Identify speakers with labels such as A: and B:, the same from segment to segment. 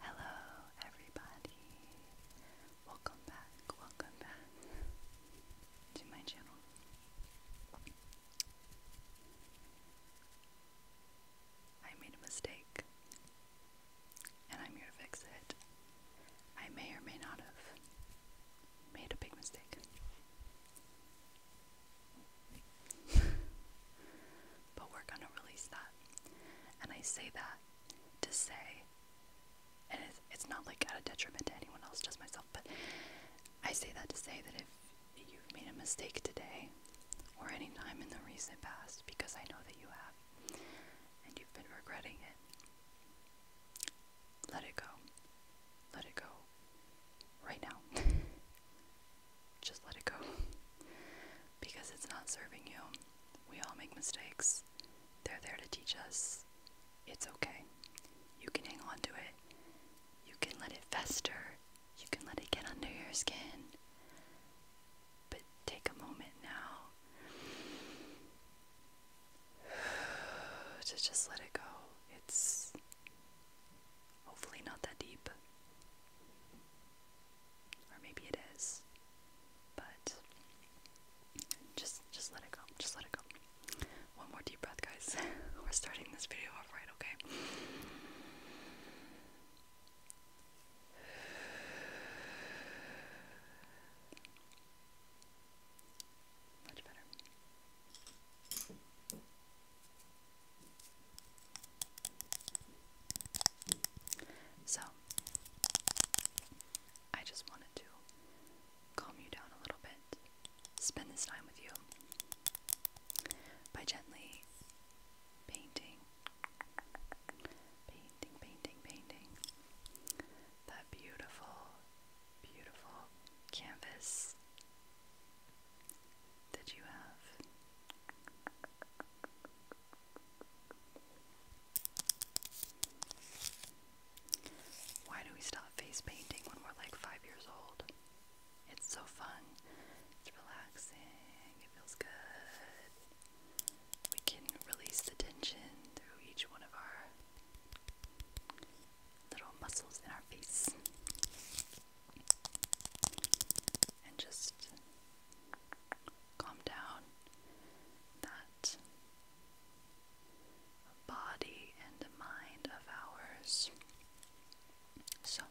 A: Hello, everybody. Welcome back, welcome back to my channel. I made a mistake, and I'm here to fix it. I may or may not have made a big mistake. but we're going to release that. And I say that to say, and it's, it's not like at a detriment to anyone else, just myself, but I say that to say that if you've made a mistake today or any time in the recent past, because I know that you have, and you've been regretting it, let it go. Let it go. Right now. Just let it go because it's not serving you. We all make mistakes. They're there to teach us. It's okay. You can hang on to it. You can let it fester. You can let it get under your skin. But take a moment now to just let it go. It's hopefully not that deep. Or maybe it is. But just just let it go. Just let it go. One more deep breath, guys. We're starting this video off right, okay? Much better. So, I just wanted to calm you down a little bit, spend this time with you by gently painting, painting, painting, painting that beautiful, beautiful canvas that you have why do we stop face painting when we're like five years old? It's so fun. It's relaxing. It feels good. We can release the tension through each one of our little muscles in our face and just calm down that body and mind of ours. So.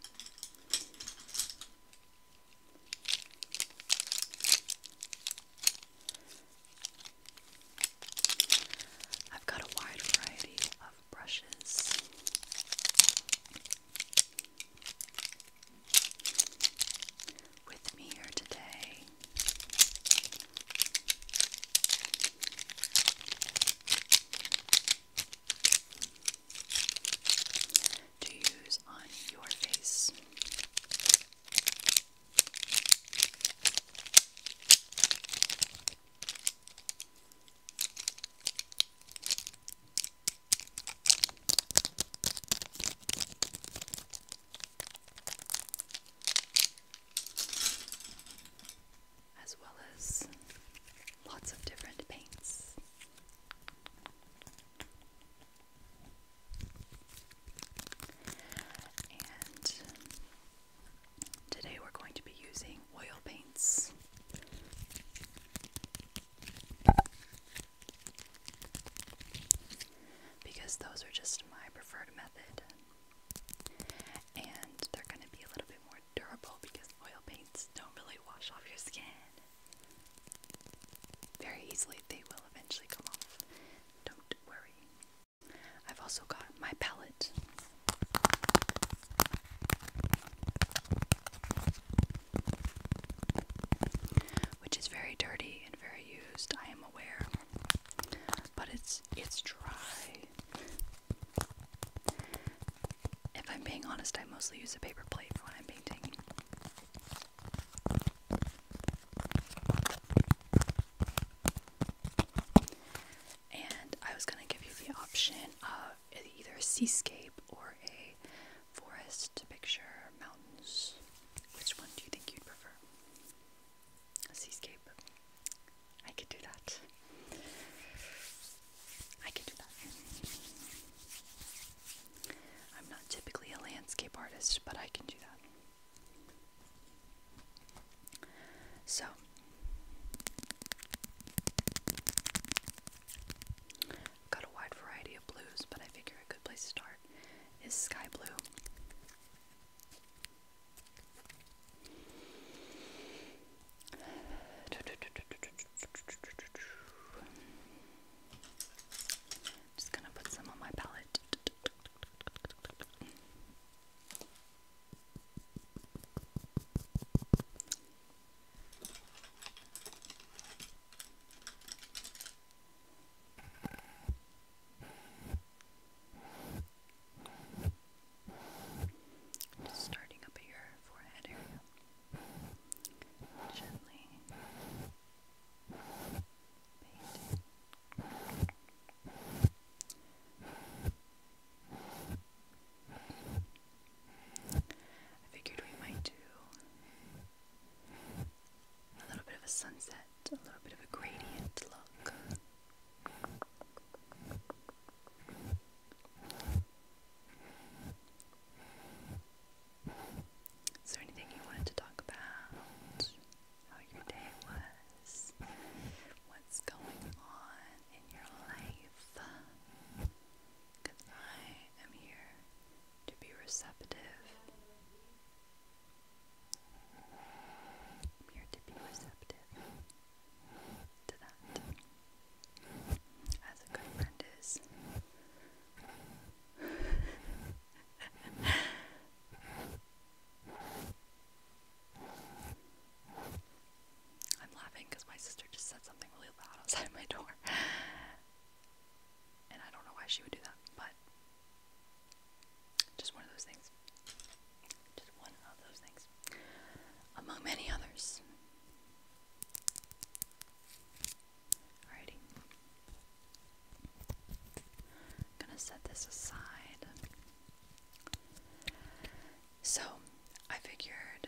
A: I've got a wide variety of brushes. With me here today to use on your face as well as lots of different paints. And today we're going to be using oil paints. Because those are just my preferred method. And they're going to be a little bit more durable because oil paints don't really wash off your skin very easily. They will eventually come off. Don't worry. I've also got my palette. Which is very dirty and very used, I am aware. But it's it's dry. If I'm being honest, I mostly use a paper plate when I'm painting. And I was going to give you the option of either a seascape or a forest picture, mountains. Which one do you think you'd prefer? A seascape. I could do that. I could do that. I'm not typically a landscape artist, but I can do that. So got a wide variety of blues, but I figure a good place to start is sky blue. Just gonna put some on my palette. Just starting up at your forehead area. Gently I figured we might do a little bit of a sunset, a little bit of a gradient look. Is there anything you wanted to talk about? How your day was? What's going on? in your life. Because I am here to be receptive. I'm here to be receptive to that. As a good friend is. I'm laughing because my sister just said something really loud outside my door. And I don't know why she would do that, but just one of those things. Just one of those things. Among many others. Alrighty. I'm gonna set this aside. So I figured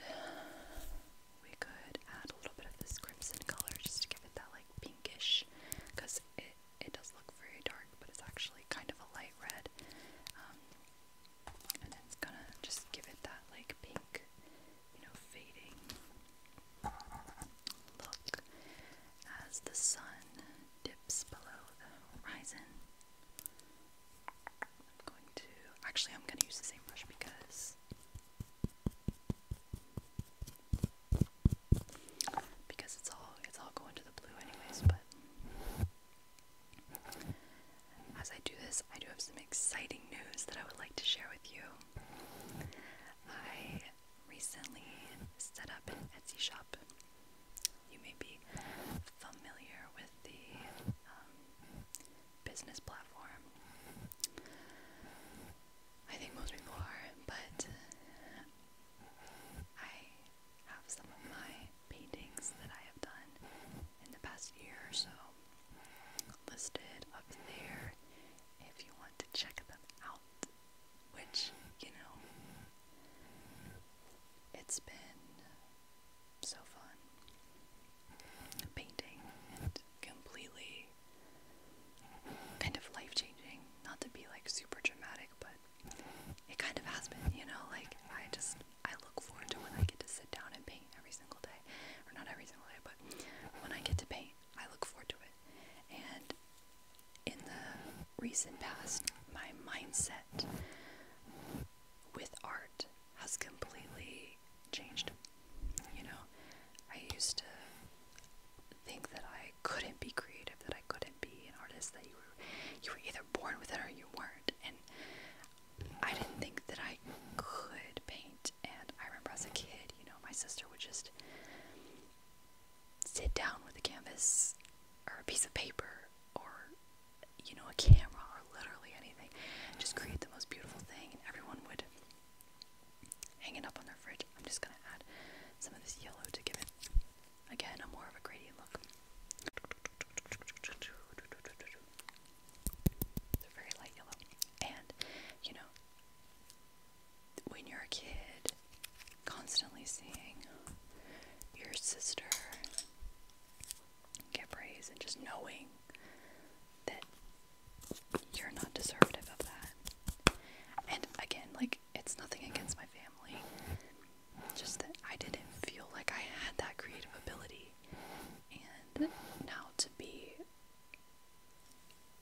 A: we could add a little bit of this crimson color just to give it that like pinkish, because it it does look very dark, but it's actually kind of a light red, um, and it's gonna just give it that like pink, you know, fading look as the sun dips below the horizon. I'm going to actually I'm going to use the same brush because because it's all it's all going to the blue anyways, but as I do this, I do have some exciting news that I would like to share with you. I recently set up an Etsy shop you may be familiar with the um, business platform. I think most people are, but I have some of my paintings that I have done in the past year or so listed up there if you want to check them out which, you know, it's been so fun painting and completely kind of life changing. Not to be like super dramatic, but it kind of has been, you know, like I just I look forward to when I get to sit down and paint every single day. Or not every single day, but when I get to paint, I look forward to it. And in the recent past, my mindset with art has completely changed. You know, I used to think that I couldn't be creative, that I couldn't be an artist, that you were you were either born with it or you weren't. And I didn't think that I could paint. And I remember as a kid, you know, my sister would just sit down with a canvas or a piece of paper or you know a camera or literally anything just create the most beautiful thing and everyone would hang it up on their fridge i'm just going to add some of this yellow to give it again a more of a gradient look it's a very light yellow and you know when you're a kid, constantly seeing your sister get praised and just knowing that you're not deserving of that. And again, like, it's nothing against my family, just that I didn't feel like I had that creative ability. And now to be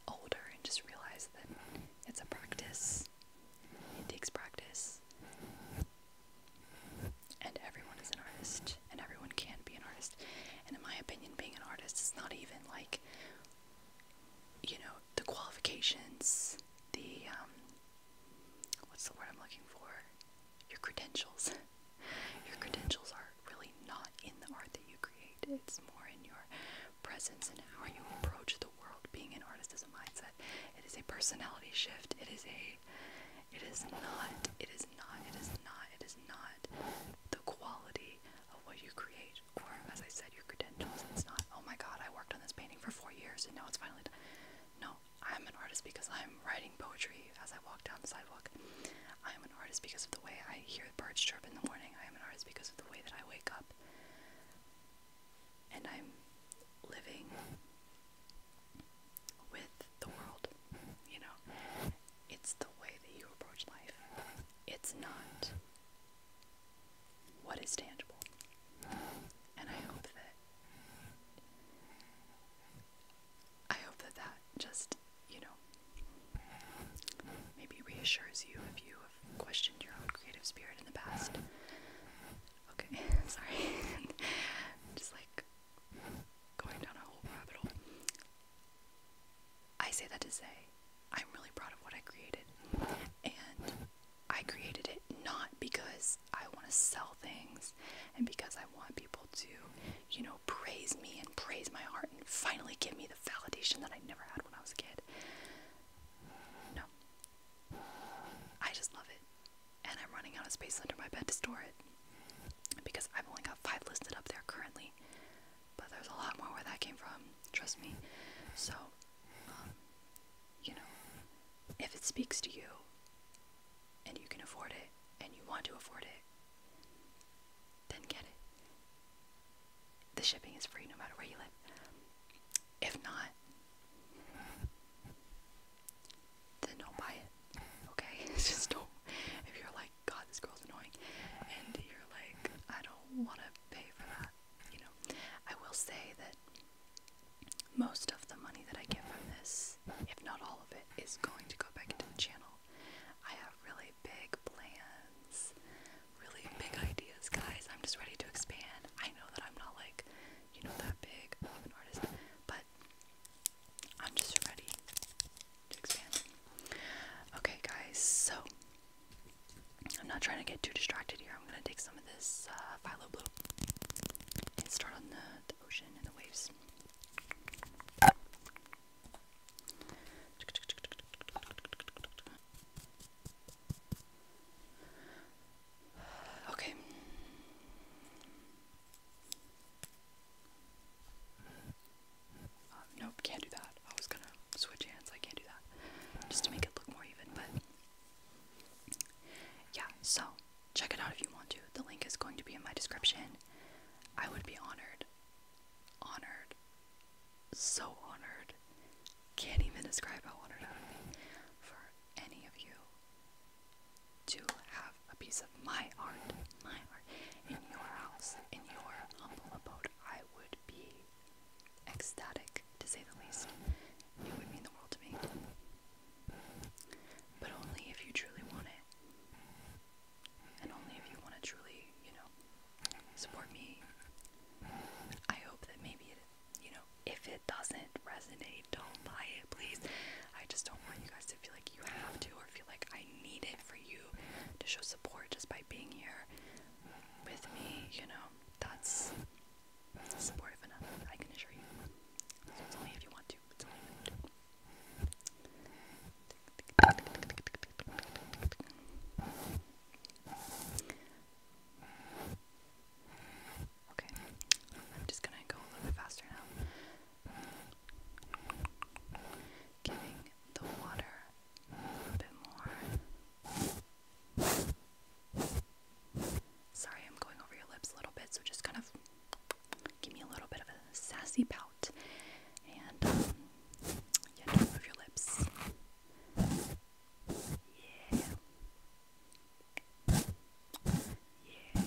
A: older and just realize that it's a practice it takes practice. And everyone is an artist, and everyone can be an artist. And in my opinion, being an artist is not even like, you know, the qualifications, the, um, what's the word I'm looking for? Your credentials. your credentials are really not in the art that you create, it's more in your presence and how you approach the world. Being an artist is a mindset. It is a personality shift. It is a it is not, it is not, it is not, it is not the quality of what you create or, as I said, your credentials. It's not, oh my god, I worked on this painting for four years and now it's finally done. No, I'm an artist because I'm writing poetry as I walk down the sidewalk. I am an artist because of the way I hear birds chirp in the morning. I am an artist because of the way that I wake up and I'm living with the world. You know, it's the way that you approach life, it's not what is tangible. And I hope that. I hope that that just, you know, maybe reassures you if you have questioned your own creative spirit in the past. Okay, sorry. i just like going down a whole rabbit hole. I say that to say I'm really proud of what I created. And I created it not because I want to sell things and because I want people to, you know, praise me and praise my art and finally give me the validation that I never had when I was a kid. No. I just love it. And I'm running out of space under my bed to store it. Because I've only got five listed up there currently. But there's a lot more where that came from, trust me. So, um, you know, if it speaks to you and you can afford it and you want to afford it, then get it the shipping is free no matter where you live. If not, then don't buy it. Okay? Just don't. If you're like, God, this girl's annoying, and you're like, I don't want to pay for that, you know. I will say that most of the money that I get from this, if not all of it, is going to go back into the channel. I have really big plans really big ideas, guys. I'm just ready to expand. I know that I'm not like, you know, that big of an artist, but I'm just ready to expand. Okay, guys, so I'm not trying to get too distracted here. I'm gonna take some of this uh, phthalo blue and start on the ocean and the waves. Okay. Uh, nope, can't do that. I was gonna switch hands. I can't do that. Just to make it look more even, but. Yeah, so check it out if you want to. The link is going to be in my description. I would be honored, honored, so honored. Can't even describe how honored I would be for any of you to have a piece of my art, my art, in your house, in your humble abode. I would be ecstatic, to say the least. It would mean the world to me. But only if you truly want it. And only if you want to truly, you know, support me. I hope that maybe it, you know, if it doesn't resonate, don't buy it, please. I just don't want you guys to feel like you have to or feel like I need it for you to show support just by being here with me, you know. That's that's supportive enough, I can assure you. It's only if you want to. Okay, I'm just gonna go a little bit faster now. Giving the water a bit more. Sorry, I'm going over your lips a little bit, so just kind of give me a little bit of a sassy pout and, um, yeah, move your lips. Yeah. Yeah.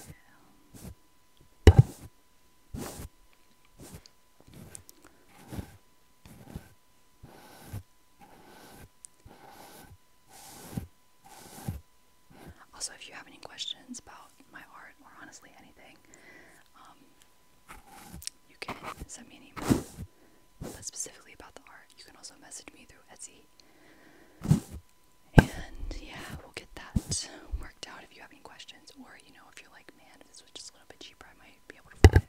A: Also, if you have any questions about my art or honestly anything, um, you can send me an email, but specifically about the art. You can also message me through Etsy. And yeah, we'll get that worked out if you have any questions, or you know, if you're like, man, if this was just a little bit cheaper, I might be able to afford it.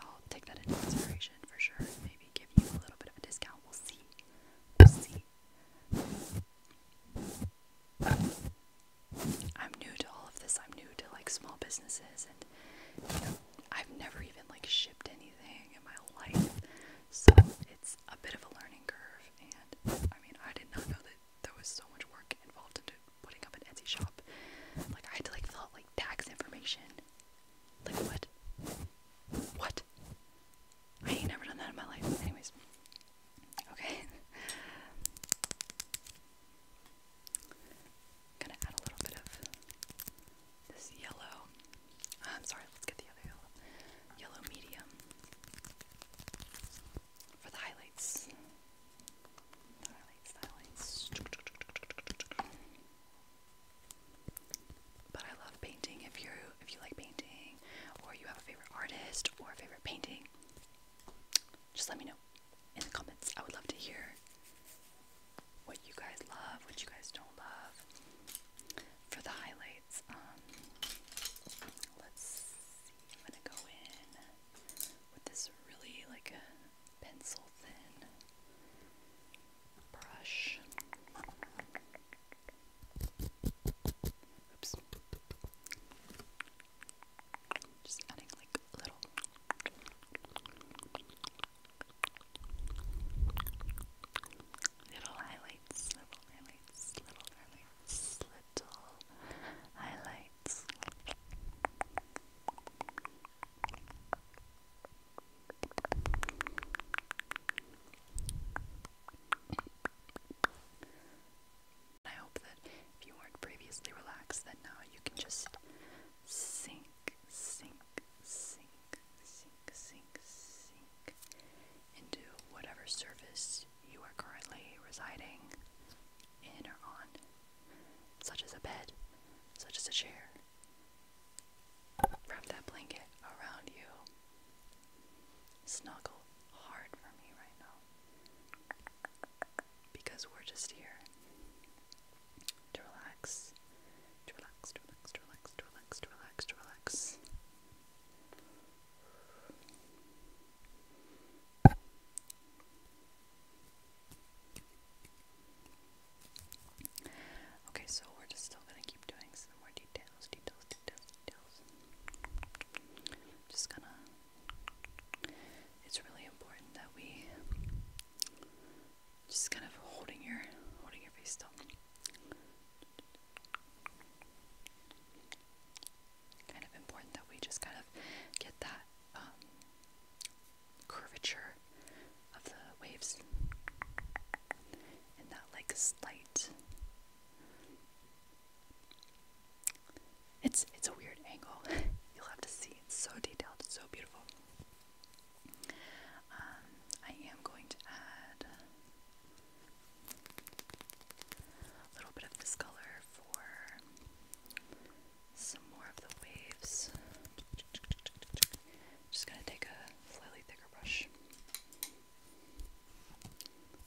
A: I'll take that into consideration for sure. Maybe give you a little bit of a discount. We'll see. We'll see. I'm new to all of this. I'm new to like small businesses, and you know, I've never even like shipped anything in my life, so it's a bit of a learning curve. And I mean, I did not know that there was so much work involved into putting up an Etsy shop. Like I had to like fill out like tax information. Like what? What? I ain't never done that in my life. Anyways. Okay. I'm gonna add a little bit of this yellow. Uh, I'm sorry, let's get the other yellow. Yellow medium for the highlights. highlights, highlights. But I love painting. If you if you like painting, or you have a favorite artist or a favorite painting, just let me know in the comments. I would love to hear what you guys love, what you guys don't love. For the highlights, um, let's see. I'm gonna go in with this really like a pencil thin brush. Oops. Just adding like a little. Little highlights, little highlights, little highlights, little highlights. I hope that if you weren't previously relaxed, that now you can just sink, sink, sink, sink, sink, sink into whatever surface you are currently residing in or on, such as a bed, such as a chair. Wrap that blanket around you. Snuggle hard for me right now because we're just here to relax, to relax, to relax, to relax, to relax, to relax, Okay, so we're just still gonna keep doing some more details, details, details, details. Just gonna. It's really important that we just kind of holding your holding your face still. Kind of important that we just kind of get that um, curvature of the waves and that like slight it's it's a weird angle. You'll have to see. It's so detailed. It's so beautiful. Um, I am going to add a little bit of this color for some more of the waves. Just gonna take a slightly thicker brush.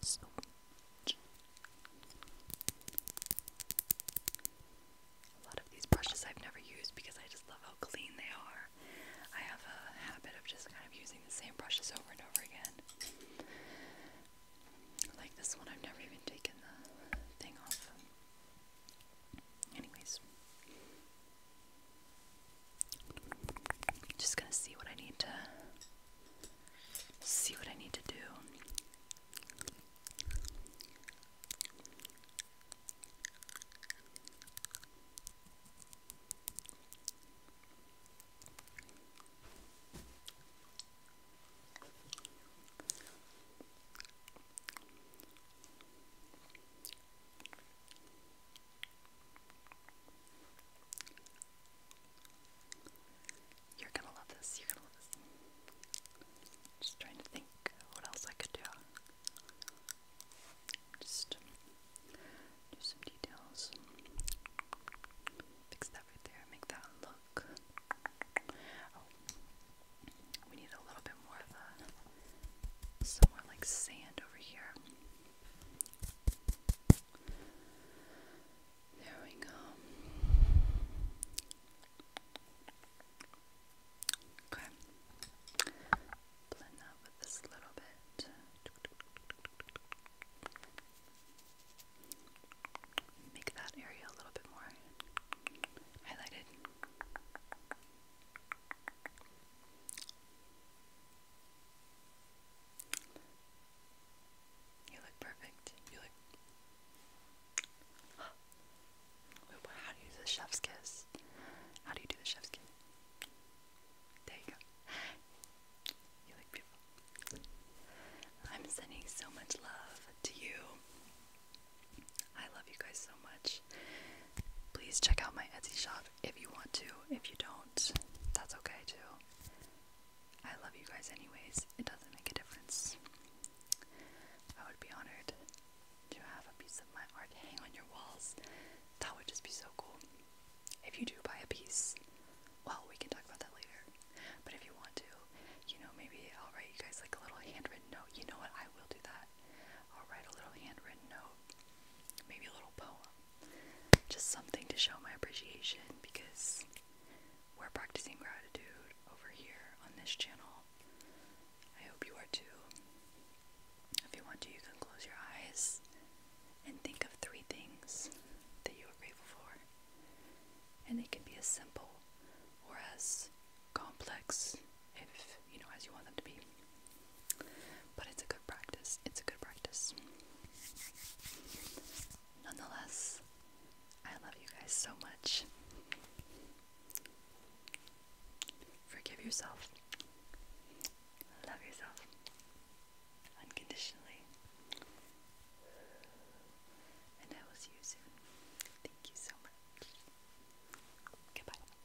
A: so much. A lot of these brushes I've never used because I just love how clean they are. I have a habit of just kind of using the same brushes over and over again. Like this one, I've never even taken the thing off. Anyways, just gonna see what I need to see what I need to do. You're gonna love this. You're gonna love this. Just trying to think what else I could do. Just do some details. Fix that right there. Make that look. Oh, we need a little bit more of a somewhere like sand over here. There we go. Okay. Blend that with this little bit. Make that area a little bit more highlighted. You look perfect. You look. How do you do the chef's kiss? How do you do the chef's kiss? There you go. You look beautiful. I'm sending so much love to you. I love you guys so much. Please check out my Etsy shop if you want to. If you don't, that's okay too. I love you guys anyways. It doesn't make a difference. I would be honored to have a piece of my art hang on your walls. That would just be so cool. If you do buy a piece, well, we can talk about that later. But if you want to, you know, maybe I'll write you guys like a little handwritten note. You know what? I will do that. I'll write a little handwritten note maybe a little poem. Just something to show my appreciation because we're practicing gratitude over here on this channel. I hope you are too. If you want to, you can close your eyes and think of three things that you are grateful for. And they can be as simple or as complex if you know, as you want them to be. But it's a good practice. It's a good practice. Nonetheless, I love you guys so much. Forgive yourself. Love yourself unconditionally. And I will see you soon. Thank you so much. Goodbye.